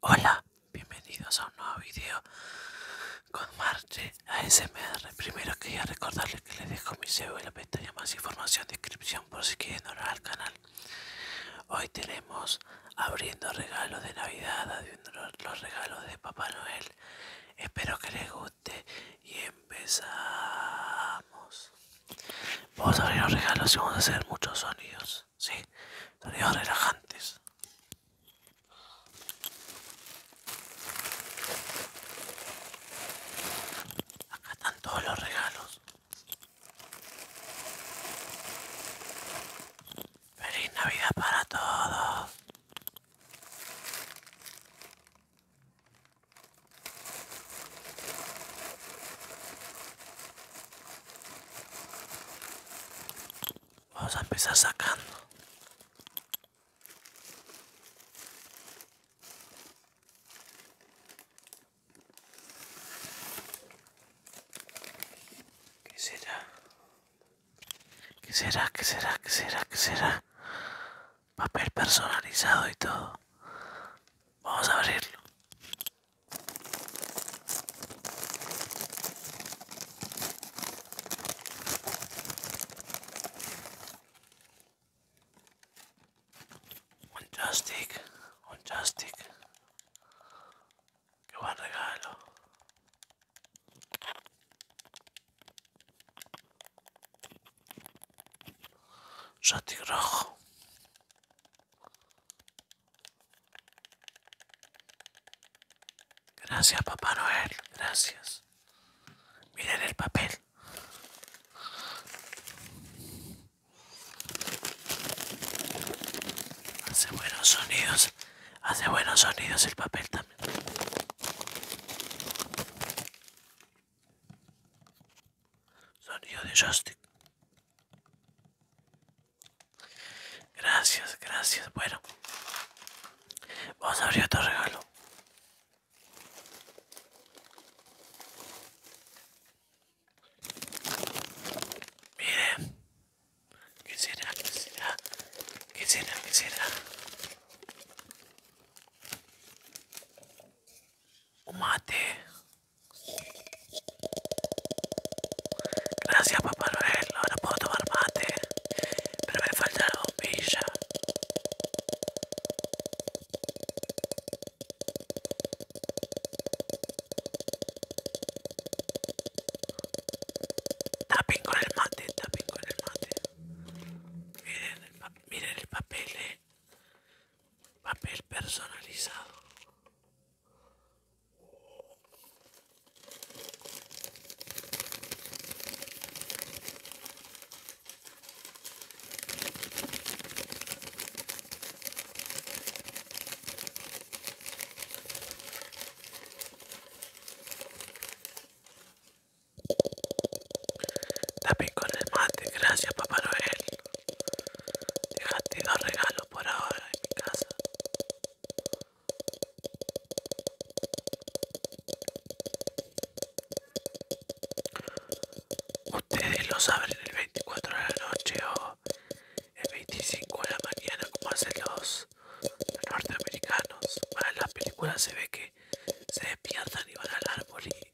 Hola, bienvenidos a un nuevo video con Marche ASMR. Primero quería recordarles que les dejo mi CV en la pestaña más información descripción por si quieren ver al canal. Hoy tenemos abriendo regalos de Navidad, abriendo los regalos de Papá Noel. Espero que les guste y empezamos. Vamos a abrir los regalos y vamos a hacer muchos sonidos sí, sonidos relajantes. Acá están todos los regalos. Feliz Navidad para todos. Vamos a empezar sacando. ¿Qué será? ¿Qué será? ¿Qué será? ¿Qué será? ¿Qué será? Papel personalizado y todo. Vamos a abrirlo. Un joystick, un que va a regalo. Joystick rojo. Gracias, Papá Noel. Gracias. Miren el papel. Hace buenos sonidos. Hace buenos sonidos el papel también. Sonido de joystick. Gracias, gracias. Bueno, vamos a abrir otro regalo. Mire, ¿qué será? ¿Qué será? ¿Qué será? ¿Qué será? Un mate. Grazie a Papà Lorello, rapporto marmate per aver fatto la bombigia. Tapping con il mate, tapping con il mate. Miren el, pa miren el papel, eh. papel personalizado. También con el mate, gracias Papá Noel. Dejaste dos regalos por ahora en mi casa. Ustedes lo saben el 24 de la noche o el 25 de la mañana como hacen los norteamericanos. Para las películas se ve que se despiertan y van al árbol y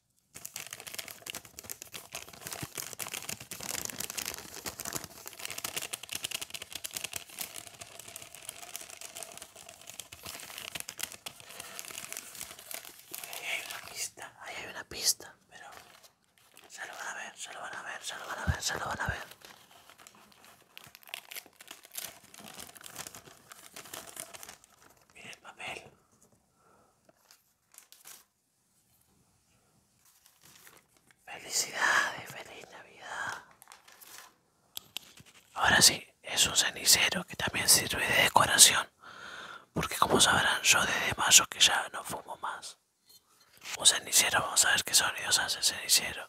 Ahí hay una pista, ahí hay una pista, pero se lo van a ver, se lo van a ver, se lo van a ver, se lo van a ver. Miren el papel. Felicidades, feliz Navidad. Ahora sí, es un cenicero que también sirve de decoración. Porque como sabrán, yo desde mayo que ya no fumo más. Un cenicero, vamos a ver qué sonidos hace el cenicero.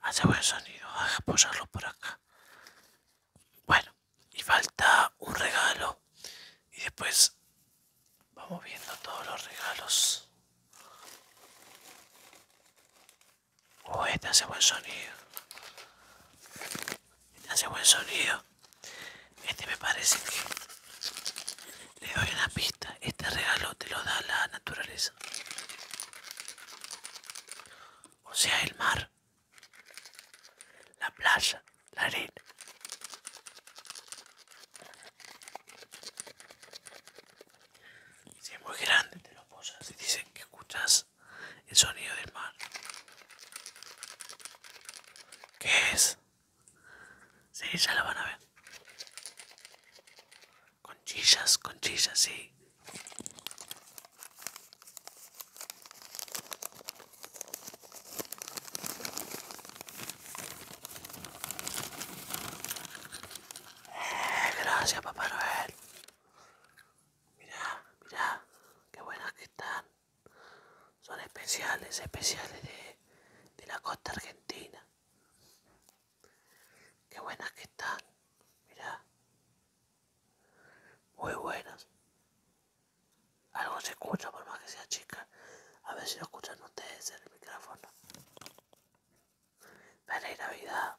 Hace ah, buen sonido, voy ah, a por acá. Bueno, y falta un regalo. Y después vamos viendo todos los regalos. Oh, este hace buen sonido. Este hace buen sonido. Este me parece que le doy una pista. Este regalo te lo da la naturaleza. O sea, el mar, la playa, la arena. Si es muy grande te lo posas y dicen que escuchas el sonido del mar. ¿Qué es? Sí, ya lo van a ver. Conchillas, conchillas, sí. Eh, gracias, Papá Noel. Mira, mira, qué buenas que están. Son especiales, especiales de, la costa argentina. Qué buenas que están. Mirá. Muy buenas. Algo se escucha por más que sea chica. A ver si lo escuchan ustedes en el micrófono. Feliz Navidad.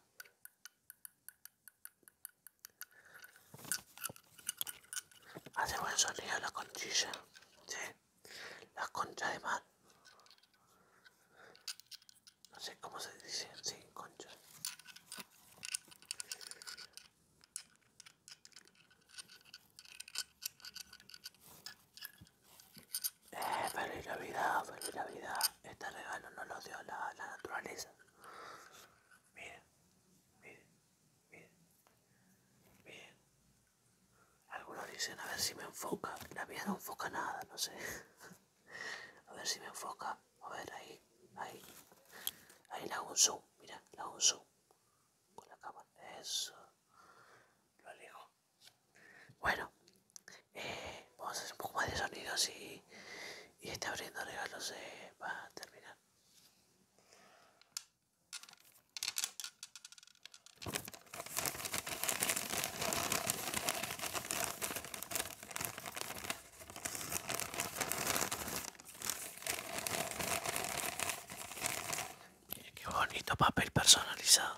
Hace buen sonido la conchilla, ¿sí? Las concha de mar. No sé cómo se dice, sí, concha. Eh, feliz Navidad, feliz Navidad. Este regalo no lo dio la, la naturaleza. Miren, miren. Bien. Bien. Algunos dicen, a ver si me enfoca. La mía no enfoca nada, no sé. a ver si me enfoca. A ver, ahí, ahí. Ahí la hago un zoom, mira, la hago un zoom. Con la cámara. Eso. Lo alejo. Bueno. Eh, vamos a hacer un poco más de sonido si... y este abriendo regalos eh, va a terminar. Miren qué bonito papel personalizado.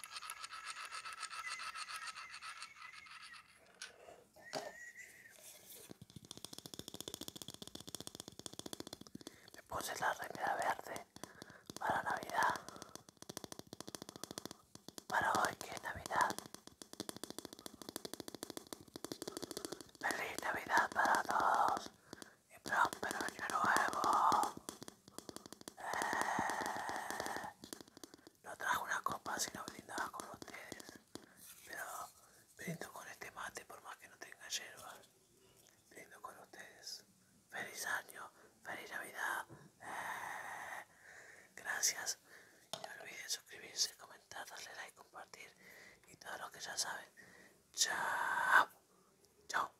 Me puse la remera verde para Navidad. Para hoy que es Navidad. Feliz Navidad para todos y próspero año nuevo. Eh, no trajo una copa si no brindaba con ustedes. Pero brindo con este mate por más que no tenga hierba. Brindo con ustedes. Feliz año, feliz Navidad. Eh, gracias. no olviden suscribirse, comentar, darle like, compartir y todo lo que ya saben. Chao. Chao.